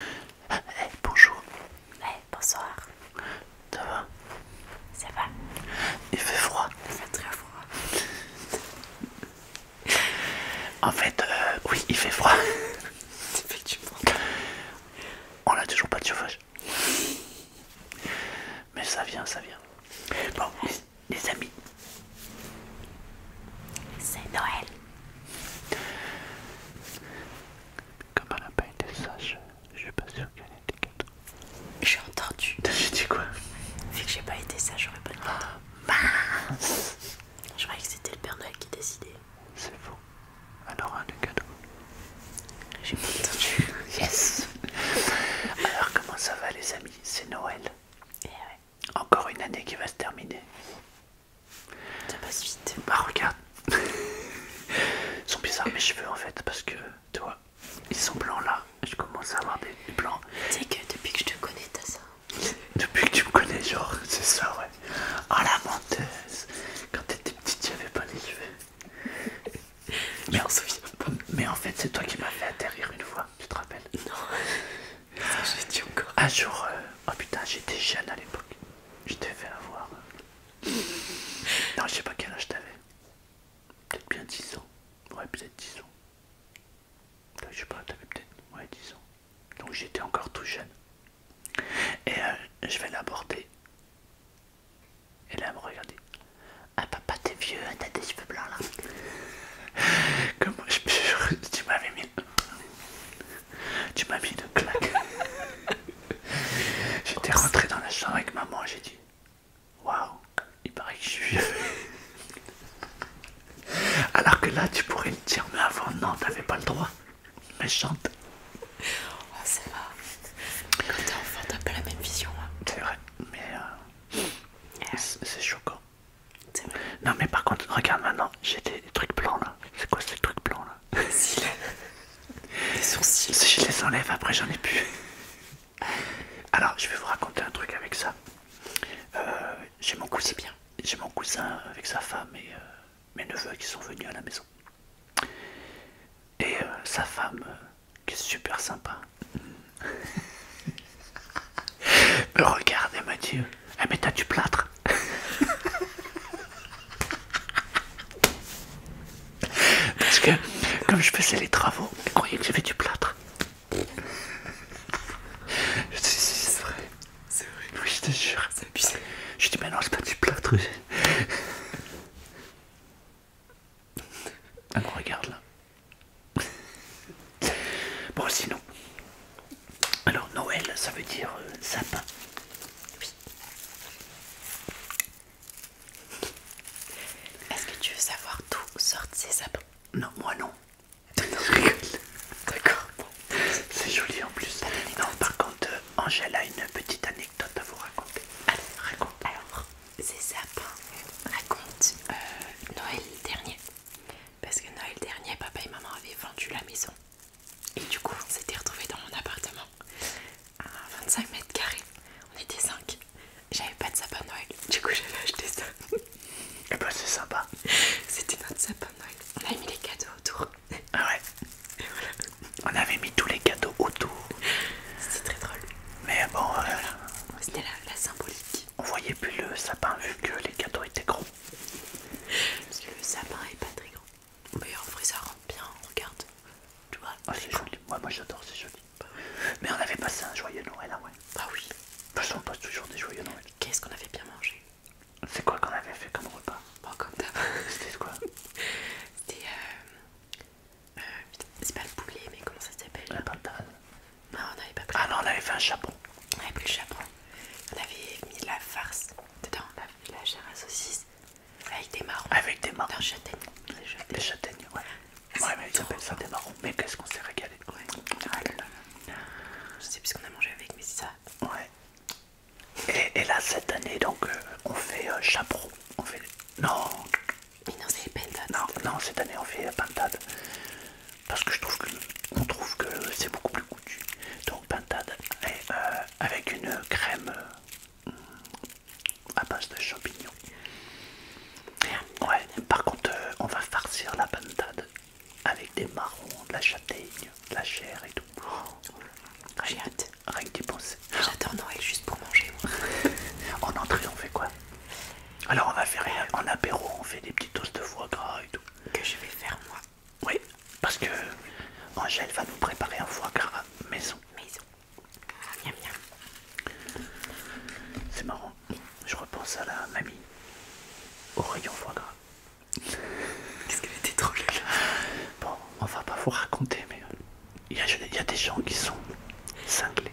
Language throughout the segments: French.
Eh, bonjour. bonsoir. Ça va Ça va. Il fait froid. Il fait très froid. en fait, euh, oui, il fait froid. On a toujours pas de chauffage. Mais ça vient, ça vient. Bon, les amis. C'est Noël. Comme elle n'a pas été sage, je suis pas sûr qu'elle ait des cadeaux. J'ai entendu. J'ai dit quoi Vu que j'ai pas été sage, j'aurais pas de ah. je croyais que c'était le Père Noël qui décidait. C'est faux. Alors un des cadeaux. J'ai pas entendu. yes Alors comment ça va les amis C'est Noël. Et eh Encore une année qui va se terminer. Ça passe vite. Bah regarde. ils sont bizarres mes cheveux en fait parce que tu vois, ils sont blancs là. Je commence à avoir des blancs. Tu sais que depuis que je te connais, t'as ça. depuis que tu me connais, genre, c'est ça ouais. oh, la menteuse. Quand t'étais petite, j'avais pas les cheveux. Mais, mais en fait, c'est toi qui m'as fait atterrir une fois, tu te rappelles Non. Un jour, euh, oh putain, j'étais jeune à l'époque. Je t'ai fait avoir. Euh, non, je sais pas quel âge t'avais. Peut-être bien 10 ans. Ouais, peut-être 10 ans. Je sais pas, t'avais peut-être ouais, 10 ans. Donc j'étais encore tout jeune. Et euh, je vais l'aborder. Et là, elle me regardait. Ah papa, t'es vieux, hein, t'as des cheveux blancs là. Comment je... Tu m'avais mis... Tu m'as mis de claque. J'étais rentré dans la chambre avec maman, j'ai dit Waouh, il paraît que je suis vieux. Alors que là, tu pourrais me dire Mais avant, non, t'avais pas le droit. Méchante. Oh, c'est va. Quand t'es enfant, t'as pas la même vision. Hein. C'est vrai, mais euh, c'est choquant. Non mais par contre, regarde maintenant, j'ai des, trucs blancs là. C'est quoi ces trucs blancs là Les sourcils. Si je les enlève, après j'en ai plus. Alors, je vais vous raconter un truc avec ça. Euh, j'ai mon cousin bien. J'ai mon cousin avec sa femme et euh, mes neveux qui sont venus à la maison. Et euh, sa femme, qui est super sympa. regarde elle m'a dit mais t'as du plâtre Parce que comme je faisais les travaux, elle croyait que j'avais du plâtre. Je te c'est vrai, c'est vrai. Oui, je te jure. C'est abusé. Je dis, mais non, c'est pas du plâtre. Elle me ah, regarde là. Bon, sinon, alors Noël, ça veut dire euh, sapin. Oui. Est-ce que tu veux savoir d'où sortent ces sapins Non, moi non. Bah D'accord. C'est joli en plus. Non, par contre, euh, Angèle a une petite anecdote à vous raconter. Allez, raconte. Alors, ces sapins euh, Noël dernier parce que Noël dernier, papa et maman avaient vendu la maison. Et du coup, on s'était retrouvés dans mon appartement à 25 mètres carrés. On était 5. J'avais pas de sapin Noël. Du coup, j'avais acheté ça. Et eh bah, ben, c'est sympa. C'était notre sapin Noël. On avait mis les cadeaux autour. Ah ouais. Et voilà. On avait mis tous les cadeaux autour. C'était très drôle. Mais bon, euh, voilà. C'était la symbolique. On voyait plus le sapin vu que les gâteaux étaient gros. Parce que le sapin est pas très grand. Mais en vrai ça bien, regarde. Tu vois ah, c'est joli, moi j'adore, c'est joli. Mais on avait passé un joyeux Noël, hein, ouais. Ah oui. De toute on passe toujours des joyeux Noël. Qu'est-ce qu'on avait bien mangé C'est quoi qu'on avait fait comme repas comme d'hab. C'était quoi C'était euh... euh c'est pas le poulet mais comment ça s'appelle La pantale. Non, on n'avait pas Ah non, on avait fait un chaperon. On avait fait le chaperon. On avait mis la farce dedans, on avait de la chair à saucisse avec des marrons. Avec des marrons. Des châtaignes. Des châtaignes, ouais. Ouais, mais ils appellent ça des marrons. Mais qu'est-ce qu'on s'est régalé. Ouais. Ah Je sais plus qu'on a mangé avec, mais c'est ça. Ouais. Et, là, cette année, donc, euh, on fait un euh, chaperon. On fait. Non. Mais non, c'est les pentades. Non, non, cette année, on fait les pentades parce que je trouve que on trouve que c'est beaucoup plus coutu. Donc pintade euh, avec une crème euh, à base de champignons. Ouais, par contre, euh, on va farcir la pintade avec des marrons, de la châtaigne, de la chair et tout. Oh, j'ai hâte. Rien que d'y penser. J'adore Noël juste pour manger. en entrée, on fait quoi alors on va faire en apéro, on fait des petits doses de foie gras et tout. Que je vais faire moi. Oui, parce que Angèle va nous préparer un foie gras maison. Maison. Bien ah, bien. C'est marrant. Je repense à la mamie au rayon foie gras. Qu'est-ce qu'elle était trop là Bon, on va pas vous raconter, mais il y a des gens qui sont cinglés.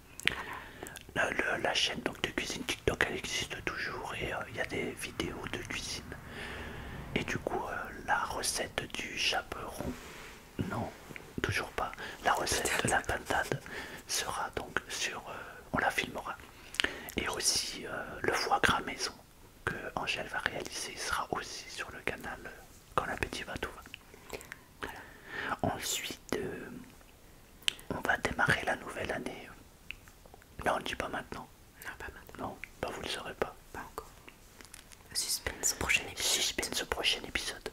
La, chaîne de cuisine TikTok elle existe toujours et euh, il y a des vidéos de cuisine. Et du coup, euh, la recette du chaperon, non, toujours pas. La recette de la pantade sera donc sur. Euh, on la filmera. Et aussi, le foie gras maison que Angèle va réaliser sera aussi sur le canal quand l'appétit va tout Ensuite, on va démarrer la nouvelle année. Non, on ne dit pas maintenant. Non, pas maintenant. Non, bah, vous ne le saurez pas. Pas encore. Suspense au prochain épisode. Suspense prochain épisode.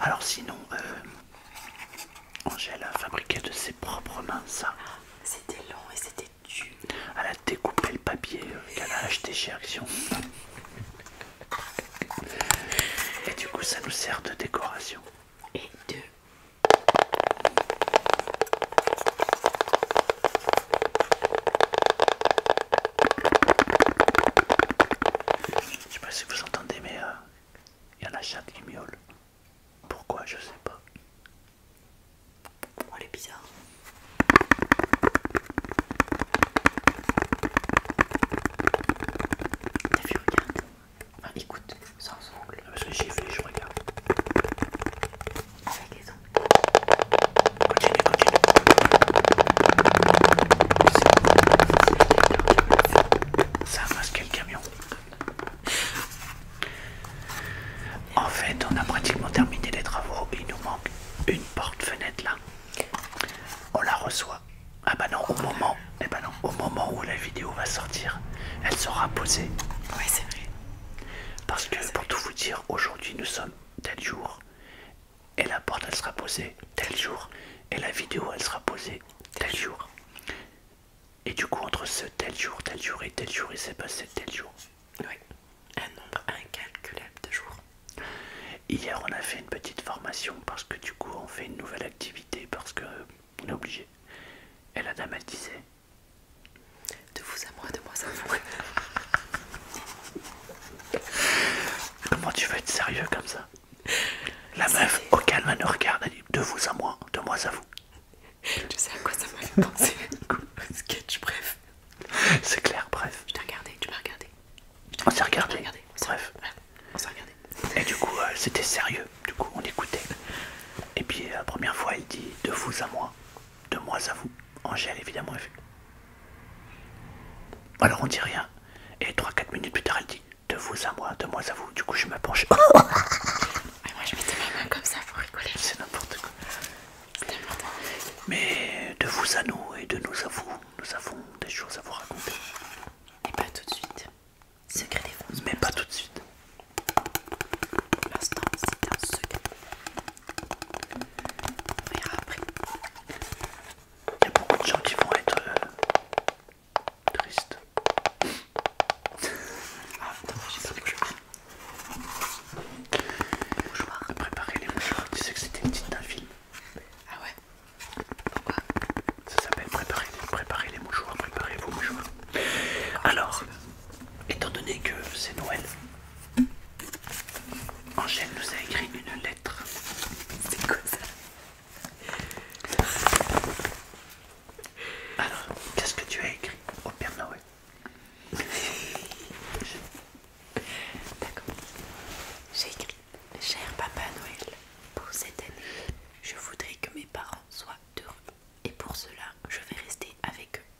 Alors sinon, euh, Angèle a fabriqué de ses propres mains ça. Ah, c'était long et c'était dur. Elle a découpé le papier euh, qu'elle a acheté chez Action. Et du coup, ça nous sert de décoration et deux. je sais pas si vous entendez mais il euh, y a la chatte qui miaule. Pourquoi je sais pas. Oh, elle est bizarre. T'as Enfin, écoute, sans ongles. Ah, parce que j'ai fait, je regarde. Avec les ongles. Continue, continue. Ça ramasse quel camion En fait, on a pratiquement terminé les travaux. Il nous manque une porte-fenêtre là. On la reçoit ah bah non, au moment, eh bah au moment où la vidéo va sortir, elle sera posée. Oui, c'est vrai. Parce que pour tout vous dire, aujourd'hui nous sommes tel jour, et la porte elle sera posée tel jour, et la vidéo elle sera posée tel jour. Et du coup, entre ce tel jour, tel jour et tel jour, il s'est passé tel jour. Oui, un nombre incalculable de jours. Hier, on a fait une petite formation parce que du coup, on fait une nouvelle activité parce que euh, on est obligé. Et la dame, elle disait De vous à moi, de moi à vous. Comment tu vas être sérieux comme ça La meuf, au calme, elle nous regarde, elle dit De vous à moi, de moi à vous. Tu sais à quoi ça m'a fait penser Sketch, bref. C'est clair, bref. Je t'ai regardé, tu m'as regardé. On s'est regardé. bref on Et du coup, euh, c'était sérieux, du coup, on écoutait. Et puis, euh, la première fois, elle dit de vous à moi, de moi à vous. Angèle, évidemment, elle Alors, on dit rien. Et 3-4 minutes plus tard, elle dit de vous à moi, de moi à vous. Du coup, je me penche. Ah, moi, je mettais ma main comme ça pour rigoler. C'est n'importe quoi. Mais de vous à nous et de nous à vous, nous avons des choses à vous raconter. Et pas tout de suite. Secret des fonds. Mais pas tout de suite. Pour l'instant, c'est un secret. On verra après. Il y a beaucoup de gens qui vont être euh, tristes. Ah, attends, j'ai pas de mouchoir. Préparer les mouchoirs. Tu sais que c'était une petite d'un film. Ah ouais ça s'appelle préparer, préparer les mouchoirs, préparer vos mouchoirs. Alors, étant donné que c'est Noël, Angèle nous a écrit une lettre. Alors, qu'est-ce que tu as écrit au Père Noël D'accord. J'ai écrit Cher Papa Noël, pour cette année, je voudrais que mes parents soient heureux et pour cela, je vais rester avec eux.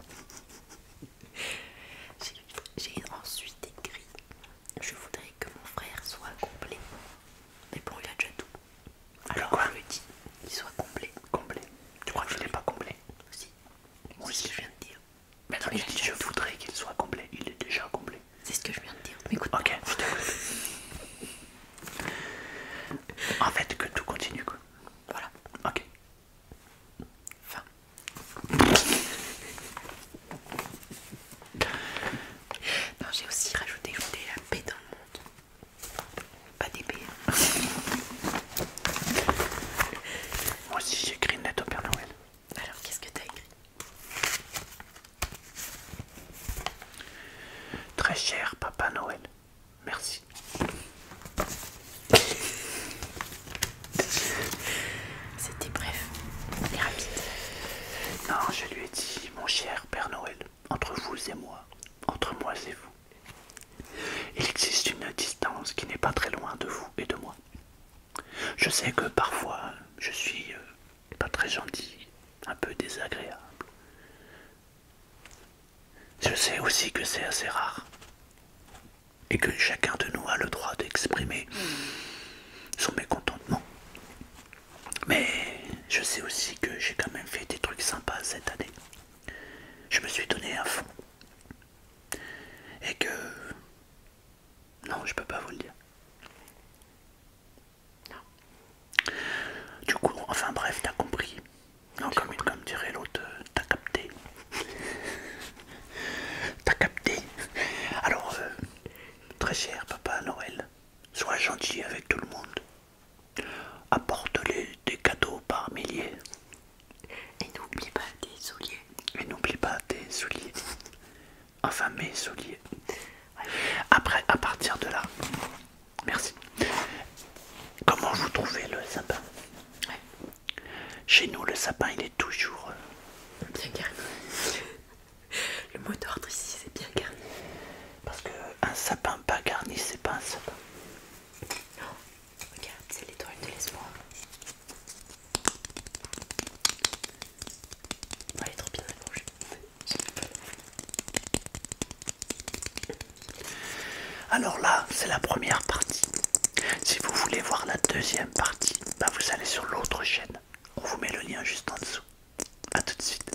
J'ai ensuite écrit Je voudrais que mon frère soit complet. Mais pour il a déjà tout. Alors, je lui dis qu'il soit complet. Complet Tu crois que je l'ai pas complet Si. Moi, aussi je viens de dire. Mais attends, je voudrais qu'il soit complet, il est déjà complet. C'est ce que je viens de dire, mais écoute. Ok, En fait, que tout continue quoi. Voilà. Ok. Fin. non, j'ai aussi rajouté, la paix dans le monde. Pas des paix. Moi aussi j'écris lettre au Père Noël. Alors, qu'est-ce que t'as écrit Très cher Papa Noël, merci. C'était bref est rapide. Non, je lui ai dit, mon cher Père Noël, entre vous et moi, entre moi et vous, il existe une distance qui n'est pas très loin de vous et de moi. Je sais que parfois je suis euh, pas très gentil, un peu désagréable. Je sais aussi que c'est assez rare et que chacun de nous a le droit d'exprimer son mécontentement. Mais je sais aussi que j'ai quand même fait des trucs sympas cette année. Je me suis donné à fond. Et que non, je peux pas vous le dire. Du coup, enfin bref, t'as compris. Non, comme, comme dirait l'autre, euh, t'as capté. t'as capté. Alors, euh, très cher Papa Noël, sois gentil avec tout le monde. Apporte-les des cadeaux par milliers. Et n'oublie pas tes souliers. Et n'oublie pas tes souliers. Enfin mes souliers. Après, à partir de là, merci. Comment vous trouvez le sapin Chez nous, le sapin, il est toujours euh, bien garni. le mot d'ordre ici, c'est bien garni. Parce que un sapin pas garni, c'est pas un sapin. Regarde, c'est l'étoile de l'espoir. est trop bien Alors là, c'est la première partie. Si vous voulez voir la deuxième partie, bah, vous allez sur l'autre chaîne. On vous met le lien juste en dessous. A tout de suite.